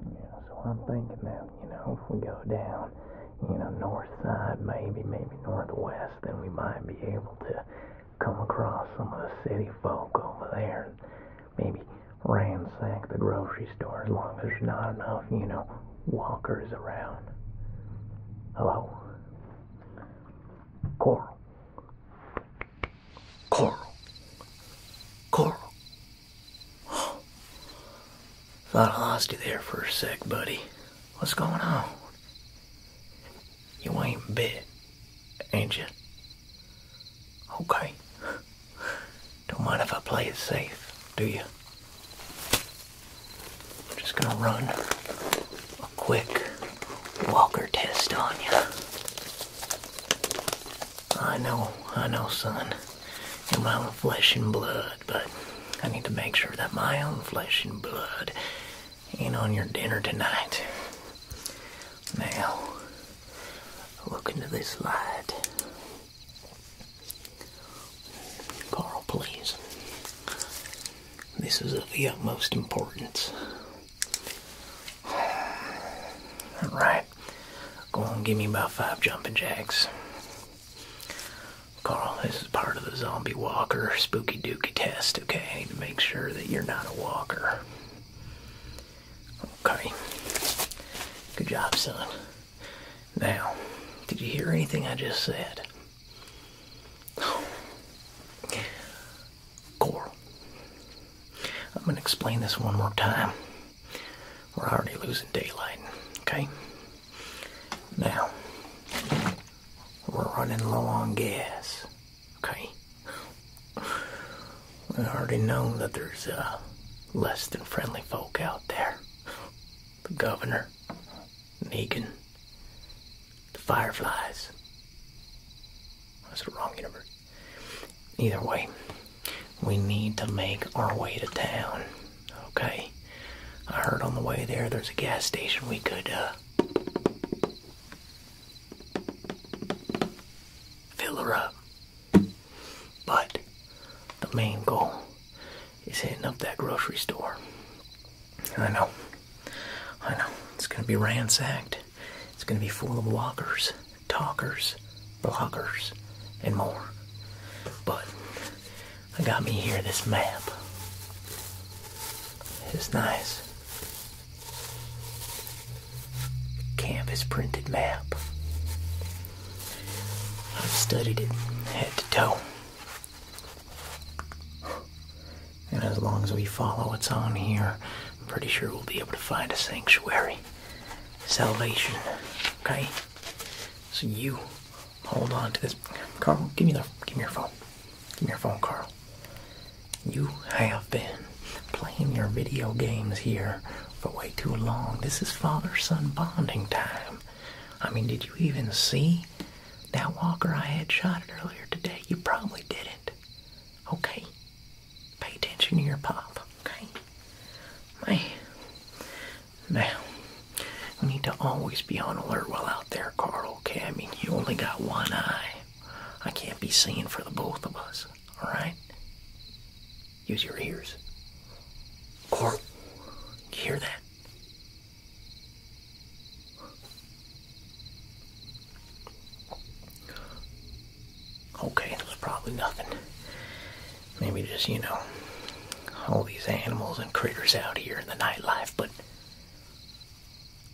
Yeah, so I'm thinking that, you know, if we go down, you know, north side maybe, maybe northwest, then we might be able to come across some of the city folk over there. Maybe ransack the grocery store as long as there's not enough, you know, walkers around. Hello? Coral. Coral. Coral. thought I lost you there for a sec, buddy. What's going on? You ain't bit, ain't you? Okay. Don't mind if I play it safe, do you? I'm just gonna run a quick walker test on you. I know, I know, son. you my own flesh and blood, but I need to make sure that my own flesh and blood ain't on your dinner tonight. Now, look into this light. Carl, please. This is of the utmost importance. All right. Go on, give me about five jumping jacks. Carl, this is part of the zombie walker spooky dookie test, okay? To make sure that you're not a walker. Okay. Good job, son. Now, did you hear anything I just said? Carl? I'm going to explain this one more time. We're already losing daylight, okay? Now, we're running low on gas, okay? I already know that there's uh, less than friendly folk out there. The governor, Negan, the fireflies. That's the wrong universe. Either way, we need to make our way to town. Okay? I heard on the way there there's a gas station we could uh, fill her up. But the main goal is hitting up that grocery store. I know. I know. It's going to be ransacked. It's going to be full of walkers, talkers, bloggers, and more. But I got me here this map. It's nice. Canvas printed map. I've studied it head to toe. And as long as we follow what's on here, I'm pretty sure we'll be able to find a sanctuary salvation. Okay? So you hold on to this. Carl, give me the give me your phone. Give me your phone, Carl. You have been playing your video games here for way too long. This is father-son bonding time. I mean, did you even see that walker I had shot it earlier today? You probably didn't. Okay? Pay attention to your pop, okay? Man. Now, we need to always be on alert while out there, Carl, okay? I mean, you only got one eye. I can't be seeing for the both of us, alright? Use your ears. Carl, you hear that? Okay, it was probably nothing. Maybe just, you know, all these animals and critters out here in the nightlife, but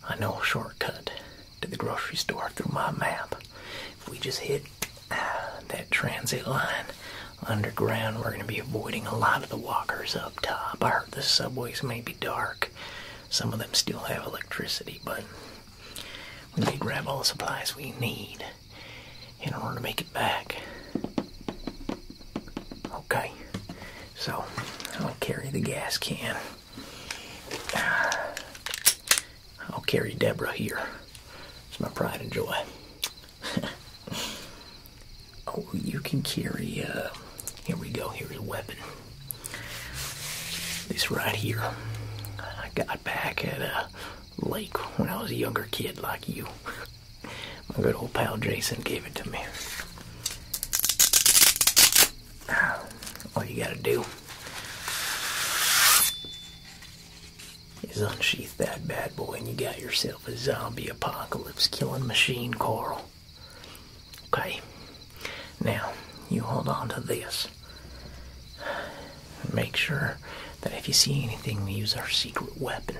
I know a shortcut to the grocery store through my map. If we just hit ah, that transit line underground, we're going to be avoiding a lot of the walkers up top. I heard the subways may be dark. Some of them still have electricity, but we need to grab all the supplies we need in order to make it back. Okay, so I'll carry the gas can. I'll carry Deborah here. It's my pride and joy. oh, you can carry, uh, here we go, here's a weapon. This right here. I got back at a uh, lake when I was a younger kid like you. My good old pal Jason gave it to me. All you gotta do is unsheath that bad boy and you got yourself a zombie apocalypse killing machine, Carl. Okay. Now, you hold on to this. Make sure that if you see anything, we use our secret weapon.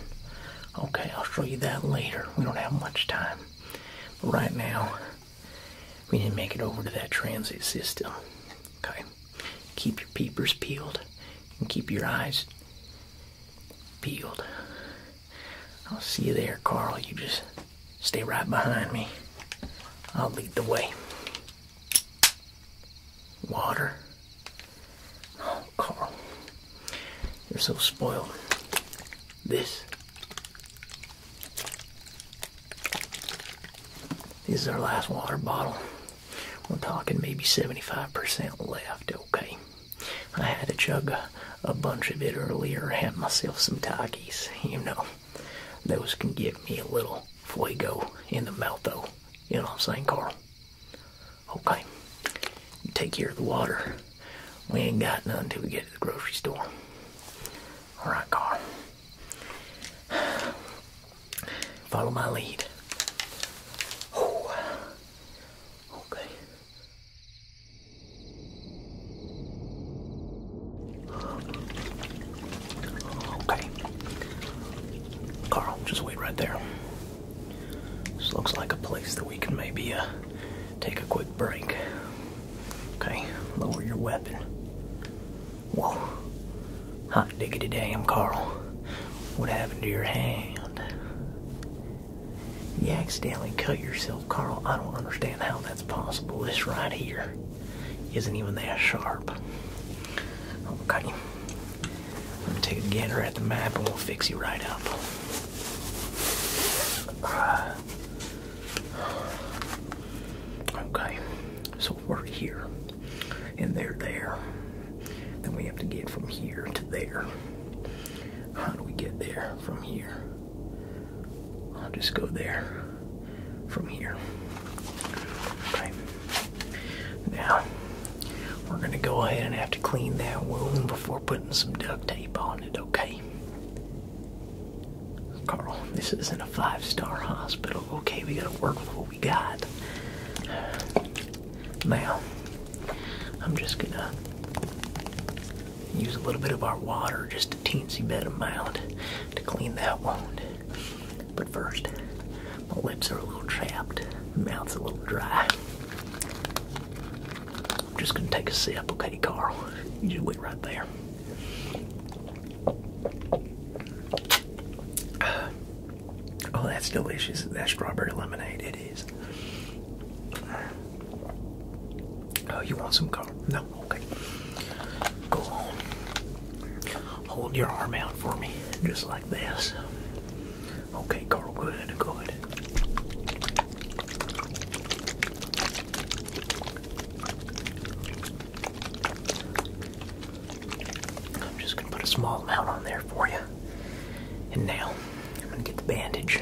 Okay, I'll show you that later. We don't have much time. But right now, we need to make it over to that transit system. Okay? Keep your peepers peeled and keep your eyes peeled. I'll see you there, Carl. You just stay right behind me. I'll lead the way. Water. Oh, Carl. You're so spoiled. This. This is our last water bottle. We're talking maybe 75% left, okay? I had to chug a, bunch of it earlier, had myself some Takis, you know. Those can give me a little fuego in the mouth, though. You know what I'm saying, Carl? Okay. take care of the water. We ain't got none until we get to the grocery store. All right, Carl. Follow my lead. Okay. Okay. Carl, just wait right there. This looks like a place that we can maybe uh, take a quick break. Okay, lower your weapon. Whoa. Hot diggity damn, Carl. What happened to your hand? You accidentally cut yourself, Carl. I don't understand how that's possible. It's right here isn't even that sharp. Okay. Let me take a gander at the map and we'll fix you right up. okay. So we're here. And they're there. Then we have to get from here to there. How do we get there from here? I'll just go there from here. Now, we're going to go ahead and have to clean that wound before putting some duct tape on it, okay? Carl, this isn't a five star hospital, okay? We got to work with what we got. Now, I'm just going to use a little bit of our water, just a teensy bit amount, to clean that wound. But first, my lips are a little chapped, mouth's a little dry. I'm just gonna take a sip, okay, Carl? You just wait right there. Oh, that's delicious. That strawberry lemonade, it is. Oh, you want some, Carl? No, Okay. Go on. Hold your arm out for me, just like this. Okay, Carl, good, good. I'm just going to put a small amount on there for you. And now, I'm going to get the bandage.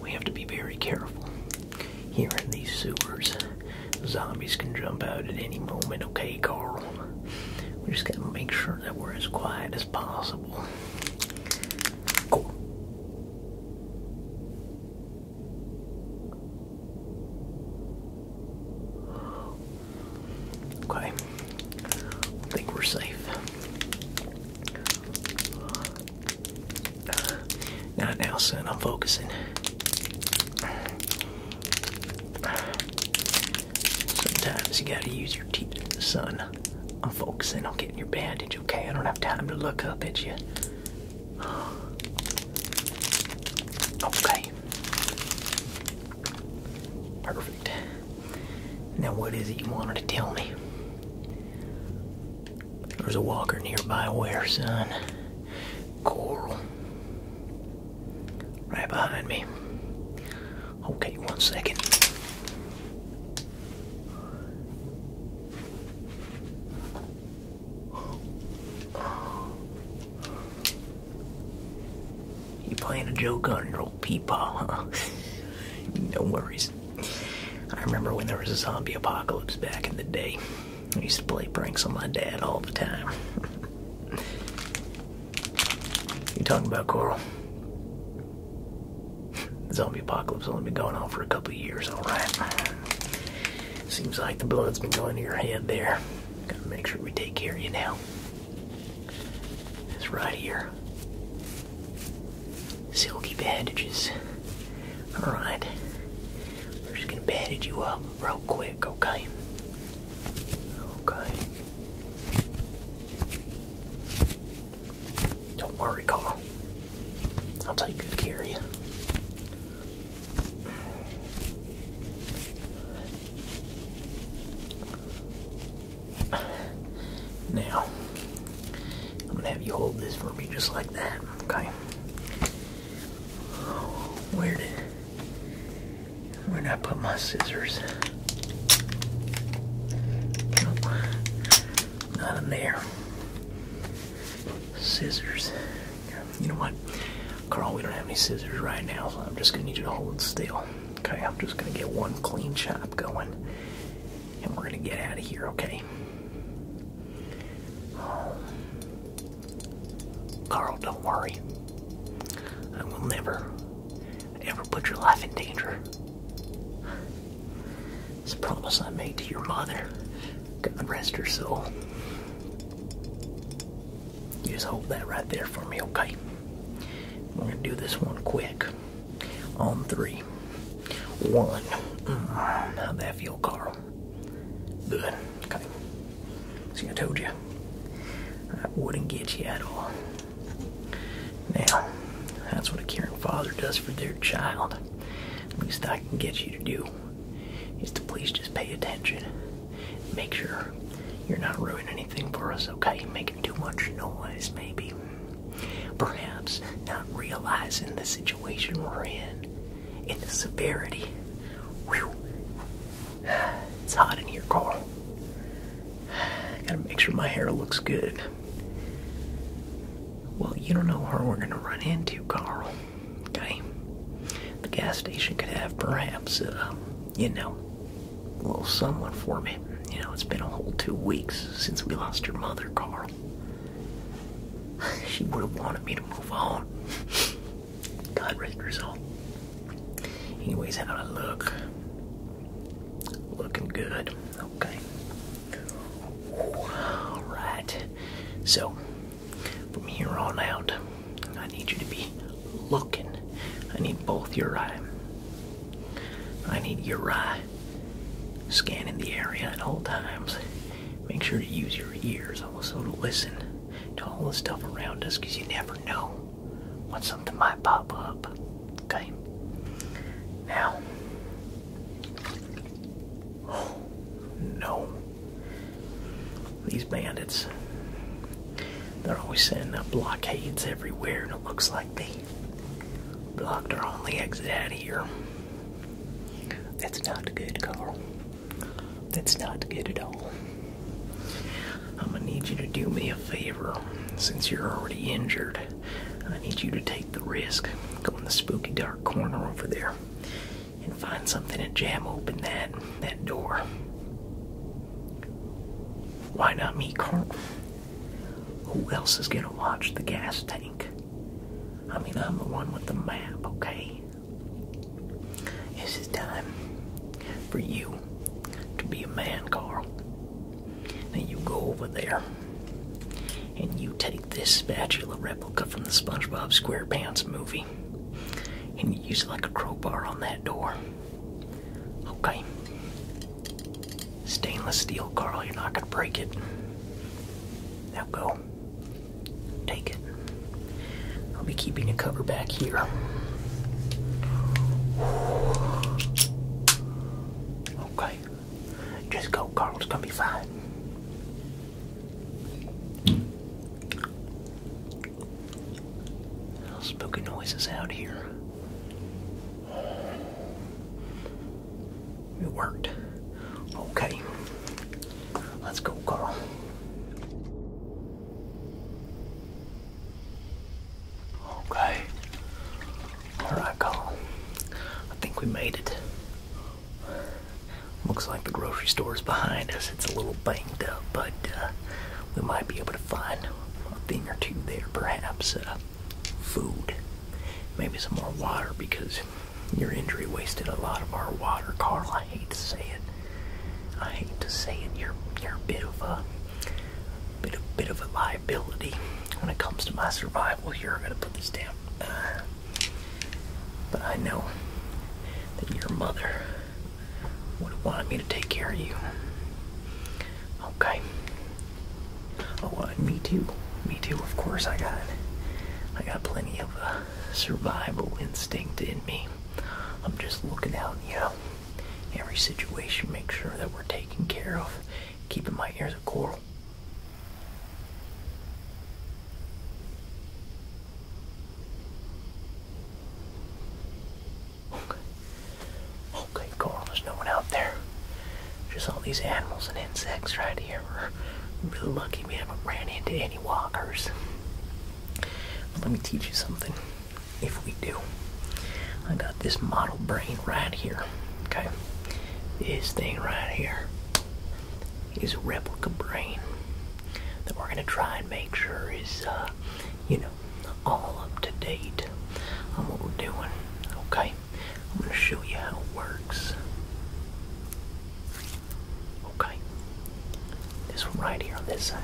We have to be very careful here in these sewers. Zombies can jump out at any moment, okay, Carl? We just gotta make sure that we're as quiet as possible. Cool. Okay, I think we're safe. Not now, son. I'm focusing. Sometimes you gotta use your teeth, son. I'm focusing on getting your bandage, okay? I don't have time to look up at you. Okay. Perfect. Now, what is it you wanted to tell me? There's a walker nearby where, son? Coral. Right behind me. Okay, one second. You playing a joke on your old peepaw, huh? no worries. I remember when there was a zombie apocalypse back in the day. I used to play pranks on my dad all the time. you talking about Coral? The zombie apocalypse only been going on for a couple of years, alright? Seems like the blood's been going to your head there. Gotta make sure we take care of you now. It's right here. Silky bandages. Alright. We're just gonna bandage you up real quick, okay? Okay. Don't worry, Carl. I'll take good care of you. Now, I'm gonna have you hold this for me just like that, okay? Where did where did I put my scissors? Nope. Not in there. Scissors. You know what? Carl, we don't have any scissors right now, so I'm just gonna need you to hold still. Okay, I'm just gonna get one clean chop going and we're gonna get out of here, okay? Carl, don't worry. I will never, ever put your life in danger. It's a promise I made to your mother. God rest her soul. You just hold that right there for me, okay? We're gonna do this one quick on three. One. Mm, how'd that feel, Carl? Good. Okay. See, I told you. I wouldn't get you at all. Now, that's what a caring father does for their child. The least I can get you to do is to please just pay attention. Make sure you're not ruining anything for us, okay? Making too much noise, maybe. Perhaps not realizing the situation we're in and the severity. It's hot in here, Carl. Gotta make sure my hair looks good. Well, you don't know where we're gonna run into, Carl. Okay? The gas station could have perhaps, uh, you know, a little someone for me. You know, it's been a whole two weeks since we lost your mother, Carl. She would have wanted me to move on. God rest her soul. Anyways, how I look. Looking good. Okay. Alright. So, from here on out, I need you to be looking. I need both your eyes. I need your eye scanning the area at all times. Make sure to use your ears also to listen to all the stuff around us because you never know when something might pop up. Okay? Now. Oh, no. These bandits. They're always setting up blockades everywhere, and it looks like like blocked our only exit out of here. That's not good, Carl. That's not good at all. I'm gonna need you to do me a favor. Since you're already injured, I need you to take the risk. Go in the spooky dark corner over there and find something to jam open that that door. Why not me, Carl? Who else is going to watch the gas tank? I mean, I'm the one with the map, okay? This is time for you to be a man, Carl. Now you go over there and you take this spatula replica from the SpongeBob SquarePants movie and you use it like a crowbar on that door. Okay? Stainless steel, Carl, you're not going to break it. Now go. Take it. I'll be keeping the cover back here. Okay. Just go, Carl. It's going to be fine. Little spooky noises out here. It worked. Okay. Let's go, Carl. Okay. Alright, Carl. I think we made it. Looks like the grocery store is behind us. It's a little banged up, but uh, we might be able to find a thing or two there, perhaps. Uh, food, maybe some more water because your injury wasted a lot of our water, Carl. I hate to say it. I hate to say it. You're you're a bit of a bit of a liability when it comes to my survival. Here, I'm gonna put this down. but I know that your mother would have wanted me to take care of you. Okay. Oh, uh, me too. Me too. Of course, I got, I got plenty of uh, survival instinct in me. I'm just looking out, you know, every situation, make sure that we're taken care of, keeping my ears a coral. Okay, cool. There's no one out there. Just all these animals and insects right here. We're really lucky we haven't ran into any walkers. But let me teach you something. If we do, I got this model brain right here. Okay, this thing right here is a replica brain that we're gonna try and make sure is, uh, you know, all up to date on what we're doing. Okay, I'm going to show you how it works. Okay. This right here on this side.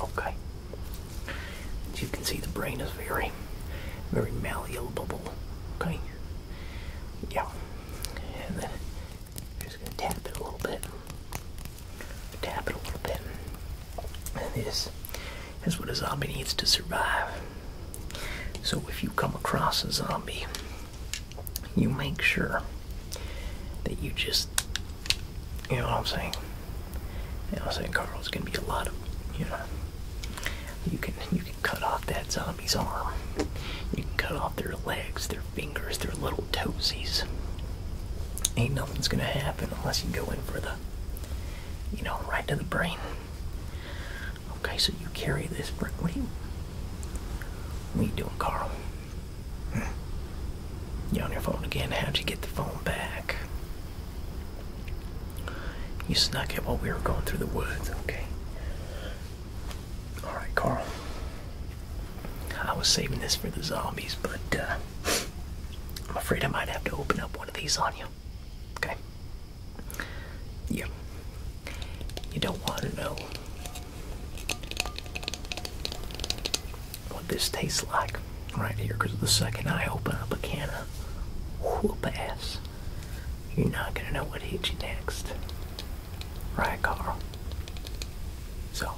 Okay. As you can see, the brain is very, very malleable. Okay. Yeah. And then just going to tap it a little bit. Tap it a little bit. And this that's what a zombie needs to survive. So if you come across a zombie, you make sure that you just, you know what I'm saying? You know what I'm saying, Carl? gonna be a lot of, you know, you can you can cut off that zombie's arm, you can cut off their legs, their fingers, their little toesies. Ain't nothing's gonna happen unless you go in for the you know, right to the brain. Okay, so you carry this brain. What are you, what are you doing, Carl? Hmm. You on your phone again? How'd you get the phone back? You snuck it while we were going through the woods, okay? Alright, Carl. I was saving this for the zombies, but uh, I'm afraid I might have to open up one of these on you. Okay. Yeah. You don't want to know what this tastes like right here, because the second I open up a can of whoop ass, you're not going to know what hits you next. Right, Carl? So,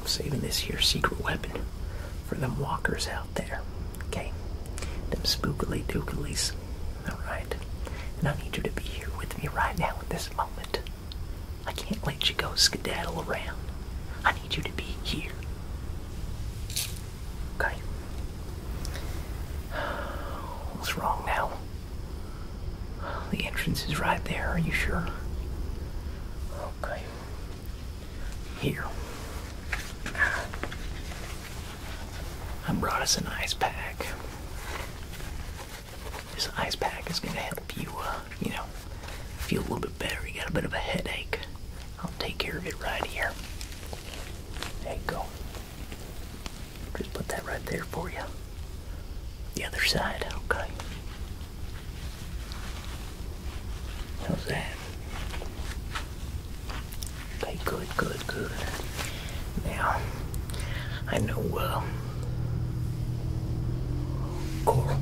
I'm saving this here secret weapon for them walkers out there. Okay? Them spookily dookilies. Alright? And I need you to be here with me right now at this moment. I can't let you go skedaddle around. I need you to be here. Okay? What's wrong now? The entrance is right there, are you sure? Okay. Here. I brought us an ice pack. This ice pack is going to help you, uh, you know, feel a little bit better. You got a bit of a headache. I'll take care of it right here. There you go. Just put that right there for you. The other side, okay. How's that? Okay, good, good, good. Now, I know, well. Uh, Coral.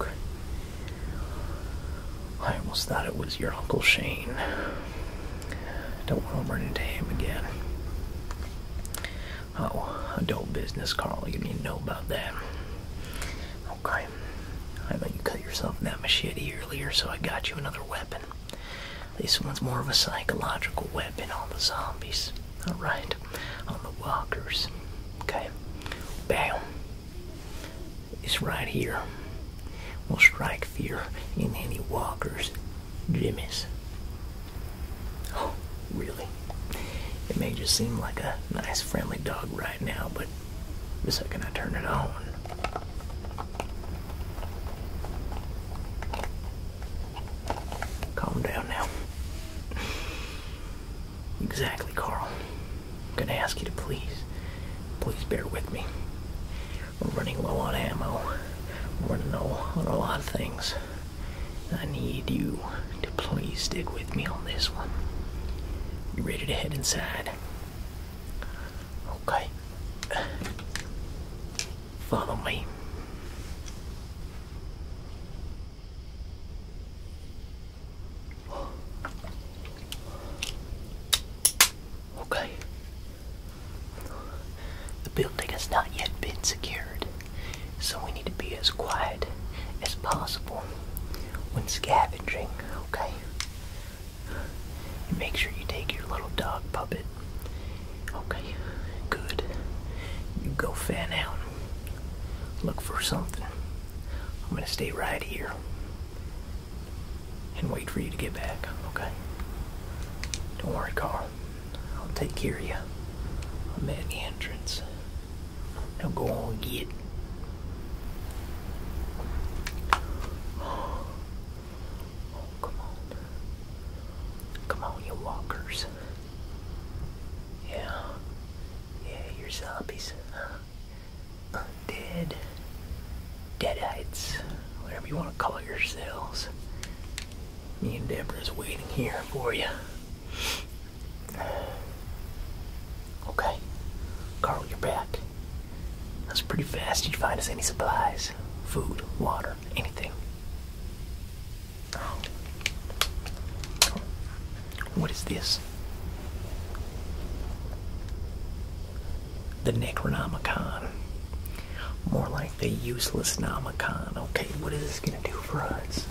Okay. I almost thought it was your Uncle Shane. Don't want to run into him again. Oh, adult business, Carl. You need to know about that. Okay. I bet you cut yourself in that machete earlier, so I got you another weapon. This one's more of a psychological weapon on the zombies. Alright. On the walkers. Okay. Bam. It's right here. Will strike fear in any walker's Jimmys. Oh, really? It may just seem like a nice friendly dog right now, but the second I turn it on. Calm down now. Exactly, Carl. I'm gonna ask you to please, please bear with me. We're running low on ammo. We're running low on a lot of things. I need you to please stick with me on this one. You ready to head inside? Okay. Follow me. Okay. The building has not yet been secured, so we need to be as quiet as possible when scavenging, okay? And make sure you take your little dog puppet. Okay, good. You go fan out. Look for something. I'm gonna stay right here and wait for you to get back, okay? Don't worry, Carl. I'll take care of you. I'm at the entrance. Now go on, get. Oh, come on. Come on, you walkers. Yeah. Yeah, your zombies undead, deadites, whatever you want to call yourselves. Me and Deborah is waiting here for you. Okay, Carl, you're back. That's pretty fast. Did you find us any supplies? Food, water, anything? What is this? the Necronomicon. More like the useless Nomicon. Okay, what is this gonna do for us?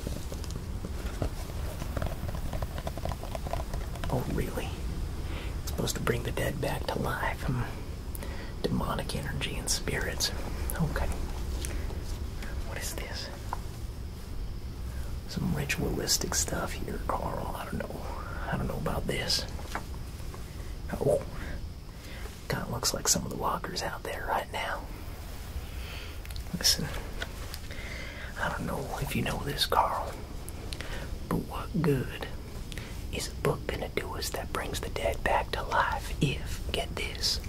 Oh, really? It's supposed to bring the dead back to life. Hmm. Demonic energy and spirits. Okay. What is this? Some ritualistic stuff here, Carl. I don't know. I don't know about this. Oh, kind of looks like some of the walkers out there right now. Listen, I don't know if you know this, Carl, but what good is a book gonna do us that brings the dead back to life if, get this,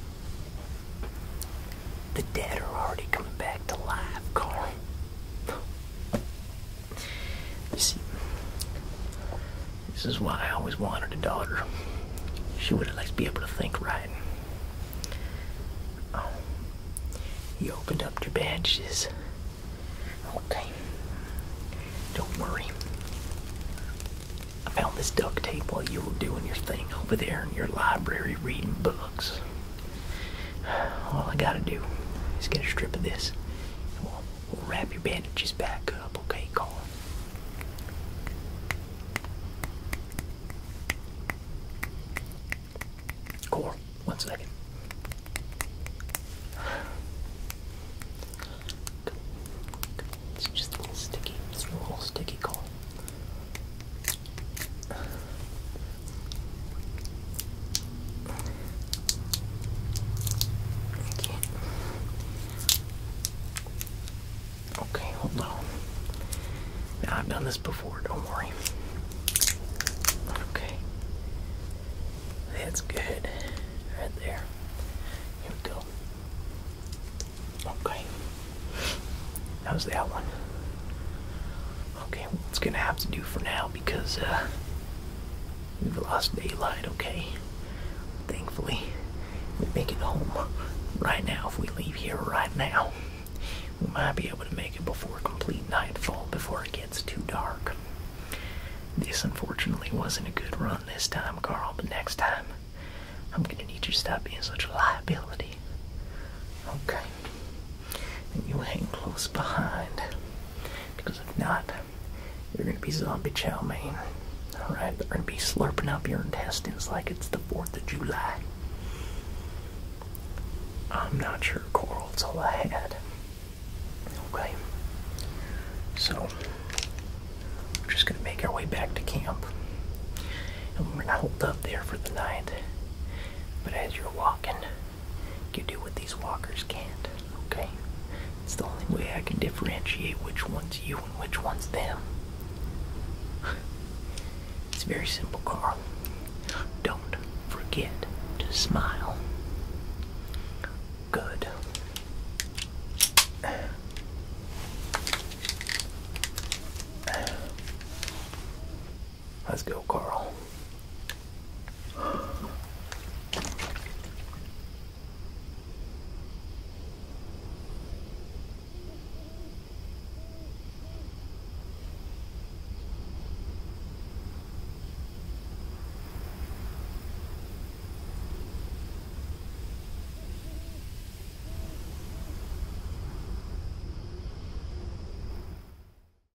the dead are already coming back to life, Carl? You see, this is why I always wanted a daughter. She would at least be able to think right. Oh, you opened up your badges. Okay. Don't worry. I found this duct tape while you were doing your thing over there in your library reading books. All I gotta do is get a strip of this, and we'll, wrap your bandages back up, okay, Colin? Core, one second. It's just a little sticky. It's a little sticky, Cole. Okay. Okay, hold on. I've done this before, don't worry. Okay. That's good. Right there. Here we go. Okay. How's that one? Okay, well, it's gonna have to do for now because uh, we've lost daylight, okay? Thankfully, we are making home right now. If we leave here right now, we might be able to make it before complete nightfall, before it gets too dark. This unfortunately wasn't a good run this time, Carl, but next time I'm gonna need you to stop being such a liability. Okay then you hang close behind. Because if not, you're gonna be zombie chow mein. Alright, they're gonna be slurping up your intestines like it's the 4th of July. I'm not sure, Coral, it's all I had. Okay. So, we're just gonna make our way back to camp. And we're gonna hold up there for the night. But as you're walking, can do what these walkers can't, okay? It's the only way I can differentiate which one's you and which one's them. It's very simple, Carl. Don't forget to smile. Good. Let's go, Carl.